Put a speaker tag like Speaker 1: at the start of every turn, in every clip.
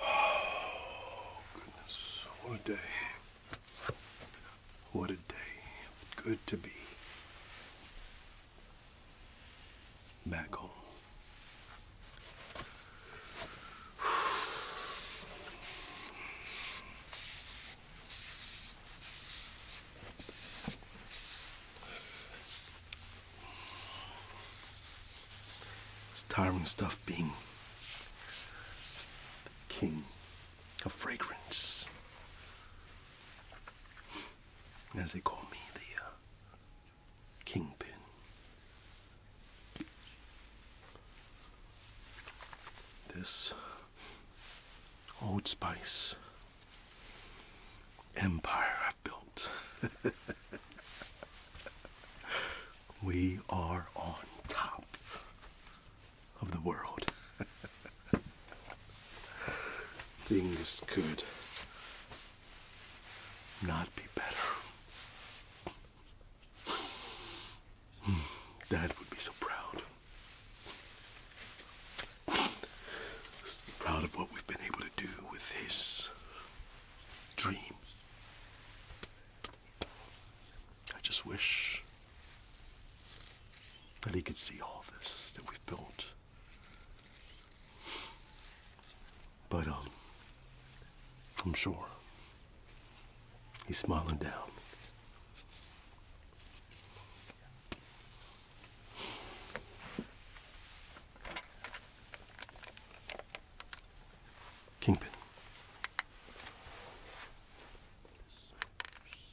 Speaker 1: Oh, goodness. What a day. What a day. Good to be back home. It's tiring stuff being the king of fragrance. As they call me, the uh, kingpin. This Old Spice empire I've built. we are on top of the world. Things could not be better. Dad hmm, would be so proud. proud of what we've been able to do with his dreams. I just wish that he could see all this that we've built. But, um, I'm sure he's smiling down. Kingpin.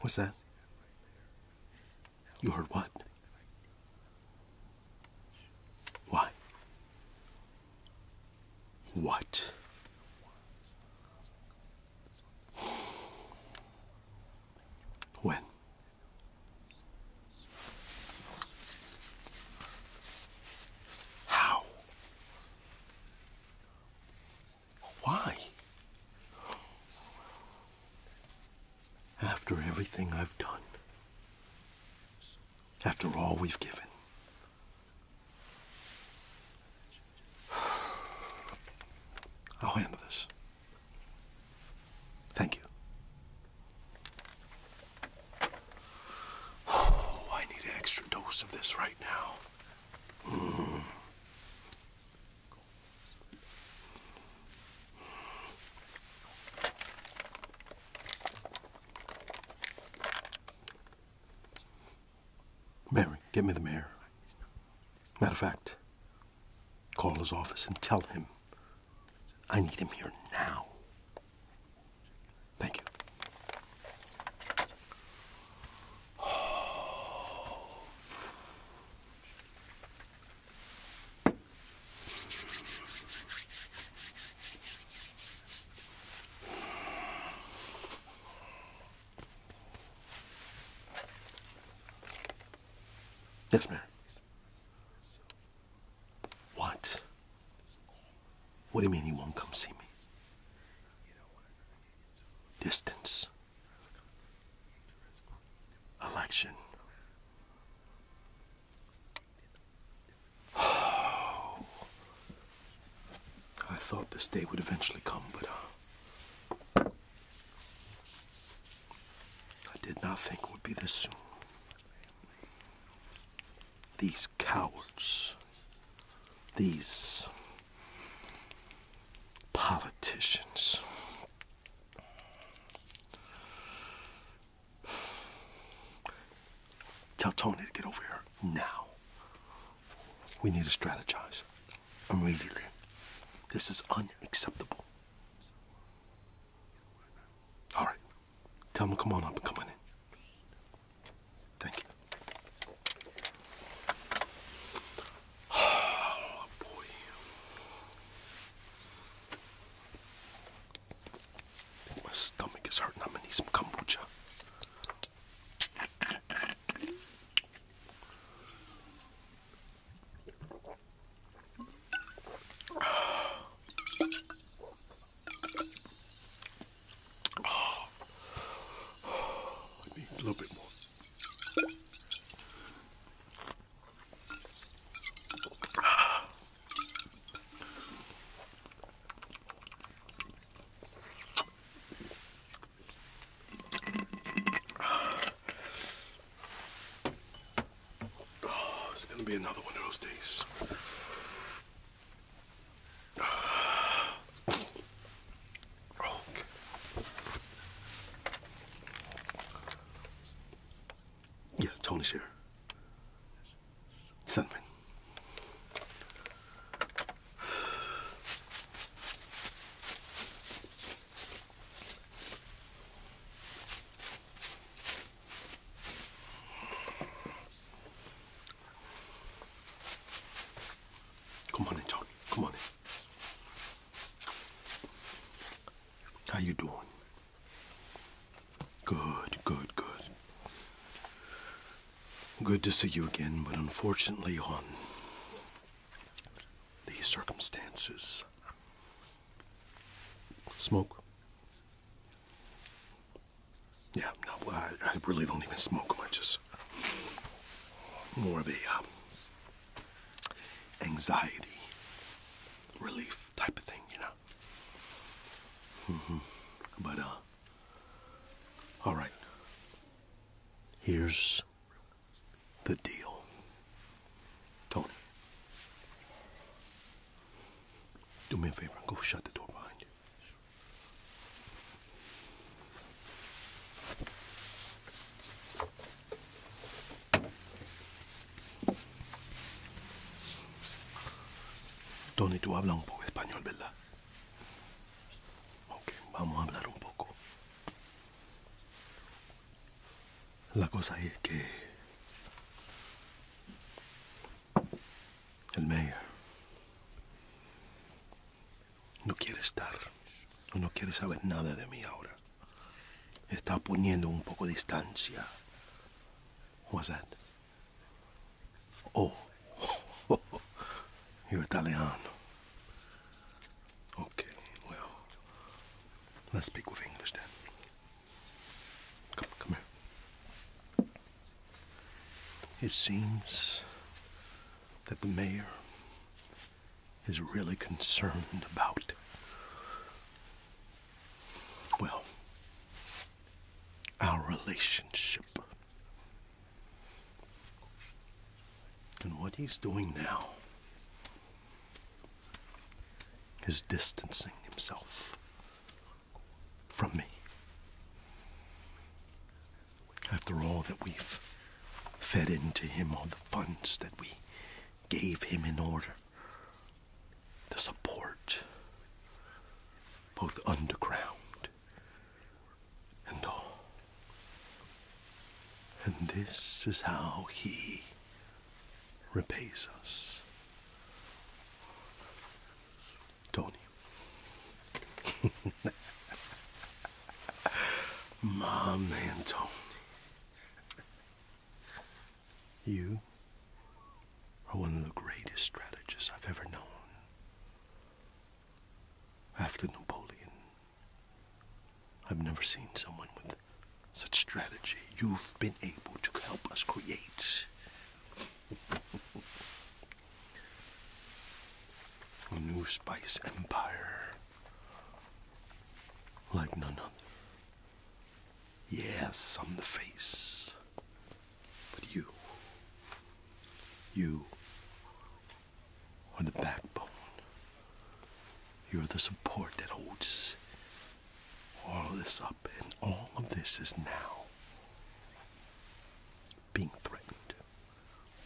Speaker 1: What's that? You heard what? Why? What? When? How? Why? After everything I've done, after all we've given. I'll handle this. Thank you. Oh, I need an extra dose of this right now. Mary, get me the mayor. Matter of fact, call his office and tell him I need him here now. Thank you. Yes, ma'am. What? What do you mean you won't come see me? Distance. Election. I thought this day would eventually come, but uh, I did not think it would be this soon. These cowards, these politicians. Tell Tony to get over here now. We need to strategize immediately. This is unacceptable. All right. Tell him, come on up, come on in. Thank you. Oh, boy. my stomach is hurting. I'm gonna need some kombucha. Oh. Oh, I need a little bit more. Ah. Oh, it's gonna be another one of those days. Yeah, Tony's here. Send Come on in, Tony. Come on in. How you doing? Good, good, good. Good to see you again, but unfortunately on these circumstances. Smoke. Yeah, no, I, really don't even smoke much. I just more of a um, anxiety relief type of thing, you know. Mm-hmm. But uh, all right. Here's the deal, Tony. Do me a favor and go shut the door behind you. Tony, tú hablas un poco español, ¿verdad? Ok, vamos a hablar un poco. La cosa es que El mayor no quiere estar, no quiere saber nada de mí ahora. Está poniendo un poco de distancia. What's that? Oh, oh, oh. you're Italiano. Okay, well, let's speak with English then. Come, come here. It seems that the mayor is really concerned about. Well, our relationship. And what he's doing now is distancing himself from me. After all that we've fed into him, all the funds that we gave him in order, the support, both underground and all. And this is how he repays us. Tony. My man, Tony. You are one of the greatest strategists I've ever known. After Napoleon, I've never seen someone with such strategy. You've been able to help us create a new spice empire like none other. Yes, I'm the face. But you, you are the backbone. You're the support that holds all this up, and all of this is now being threatened.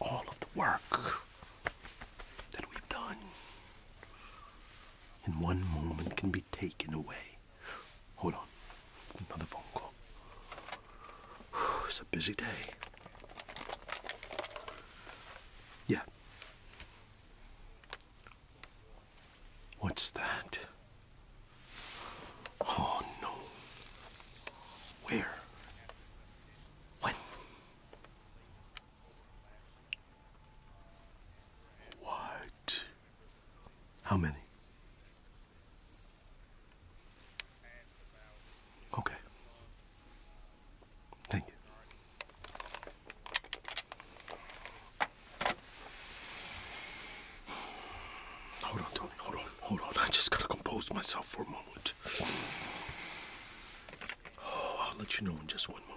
Speaker 1: All of the work that we've done in one moment can be taken away. Hold on, another phone call. It's a busy day. Yeah. What's that? Oh no. Where? When? What? How many? Okay. Thank you. Hold on, Tony. Hold on. Hold on. I just gotta compose myself for a moment. Oh, I'll let you know in just one moment.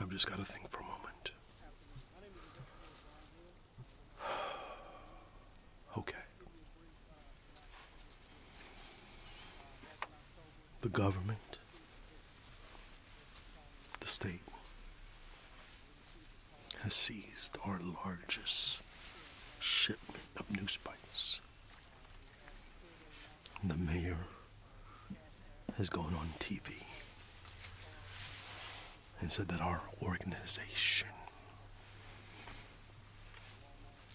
Speaker 1: I've just got to think for a moment. Okay. The government, the state, has seized our largest shipment of new the mayor has gone on TV and said that our organization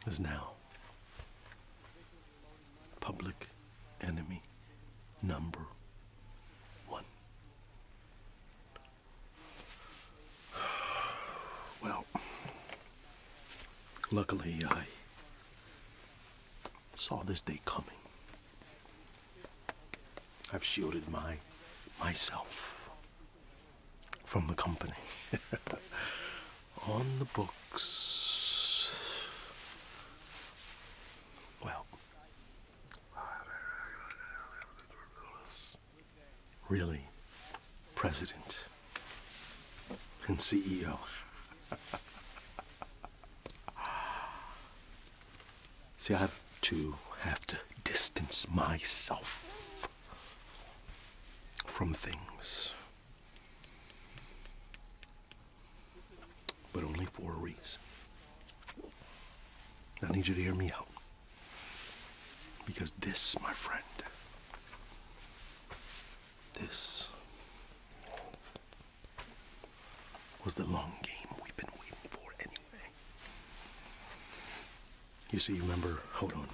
Speaker 1: is now public enemy number one. Well, Luckily, I saw this day coming. I've shielded my myself from the company. On the books. Well, really president and CEO. See, I have to have to distance myself from things. But only for a reason. I need you to hear me out. Because this, my friend, this was the long game we've been waiting for anyway. You see, remember, hold on,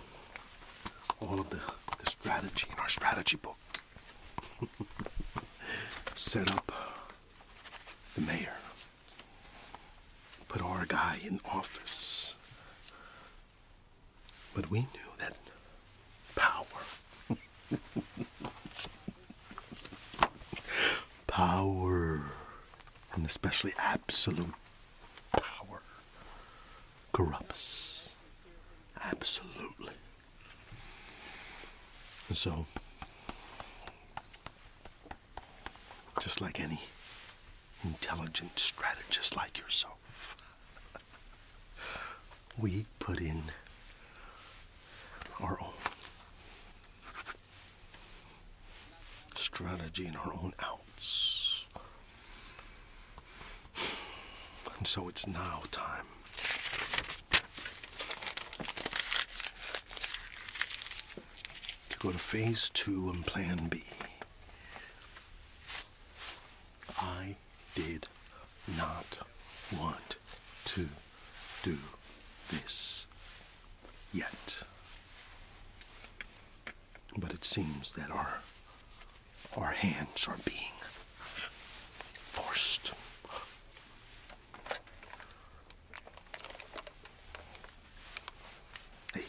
Speaker 1: all of the, the strategy in our strategy book set up the mayor, put our guy in office, but we knew that power. power. And especially absolute power corrupts. Absolutely. And so, just like any intelligent strategist like yourself, we put in our own strategy and our own outs. And so it's now time. to Go to phase two and plan B. I did not want to do this yet. But it seems that our our hands are being forced. Hey.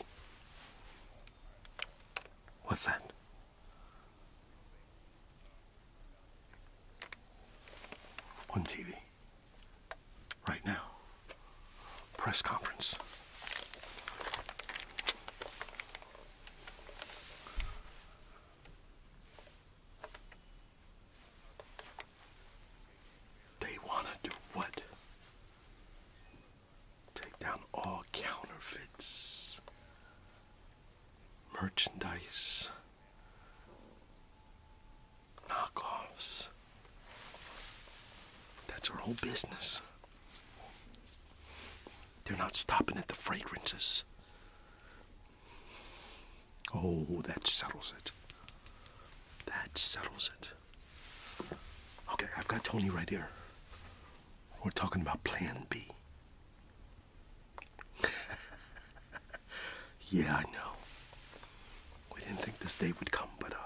Speaker 1: What's that? on TV right now. Press conference. They want to do what? Take down all counterfeits merchandise, knockoffs. That's our whole business. They're not stopping at the fragrances. Oh, that settles it. That settles it. Okay, I've got Tony right here. We're talking about plan B yeah, I know. We didn't think this day would come, but uh,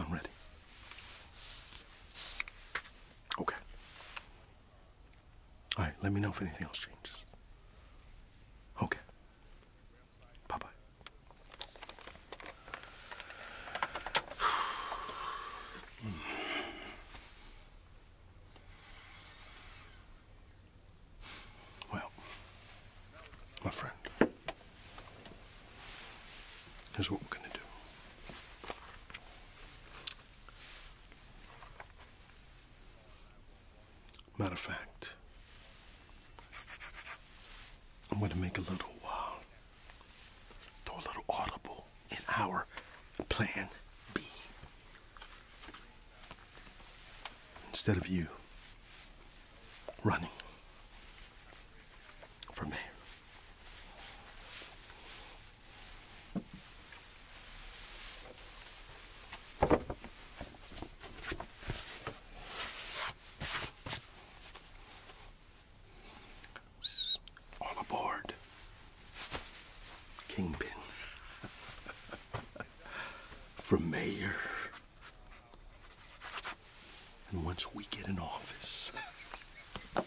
Speaker 1: I'm ready. Okay. All right, let me know if anything else changes. Okay. Bye bye. Well, my friend, here's what we're going to do. Matter of fact, I'm going to make a little while. Uh, do a little audible in our plan B. Instead of you running from there. All aboard. Kingpin. From mayor. And once we get in office.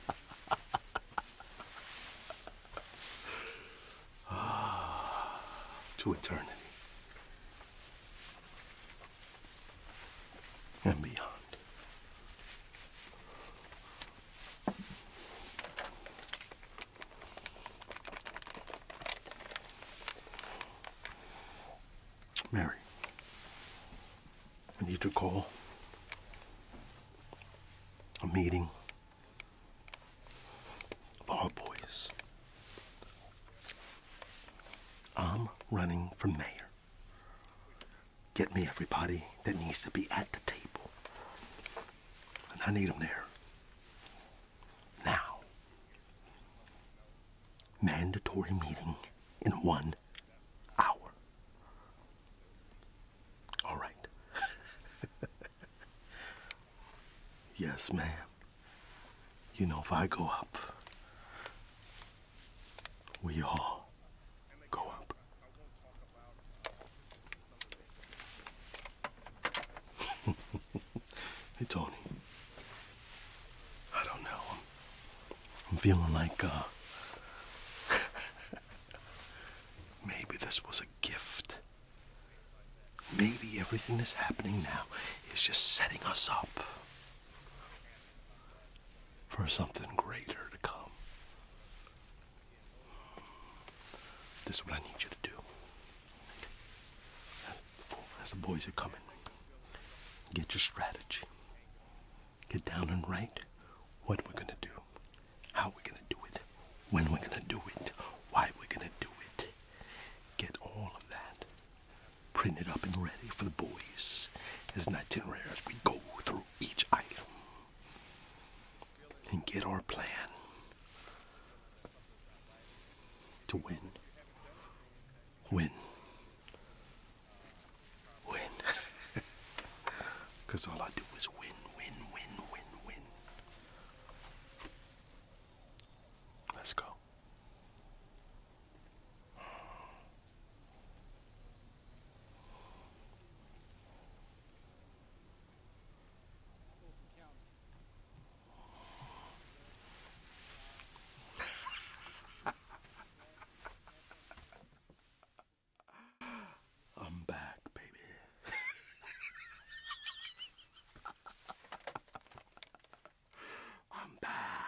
Speaker 1: ah, to eternity. And beyond. Mary, I need to call a meeting of all boys. I'm running from there. Get me everybody that needs to be at the table. And I need them there. Now. Mandatory meeting in one hour. All right. yes, ma'am. You know, if I go up, we all go up. hey, Tony. I don't know. I'm, I'm feeling like, uh, maybe this was a gift. Maybe everything that's happening now is just setting us up for something greater to come. This is what I need you to do. As the boys are coming, get your strategy. Get down and write what we're gonna do, how we're gonna do it, when we're gonna do it, why we're gonna do it. Get all of that printed up and ready for the boys as an itinerary as we go through each item and get our plan to win. Win. Win. Because all I do is win, win, win, win, win. Let's go. I'm back, baby. I'm back.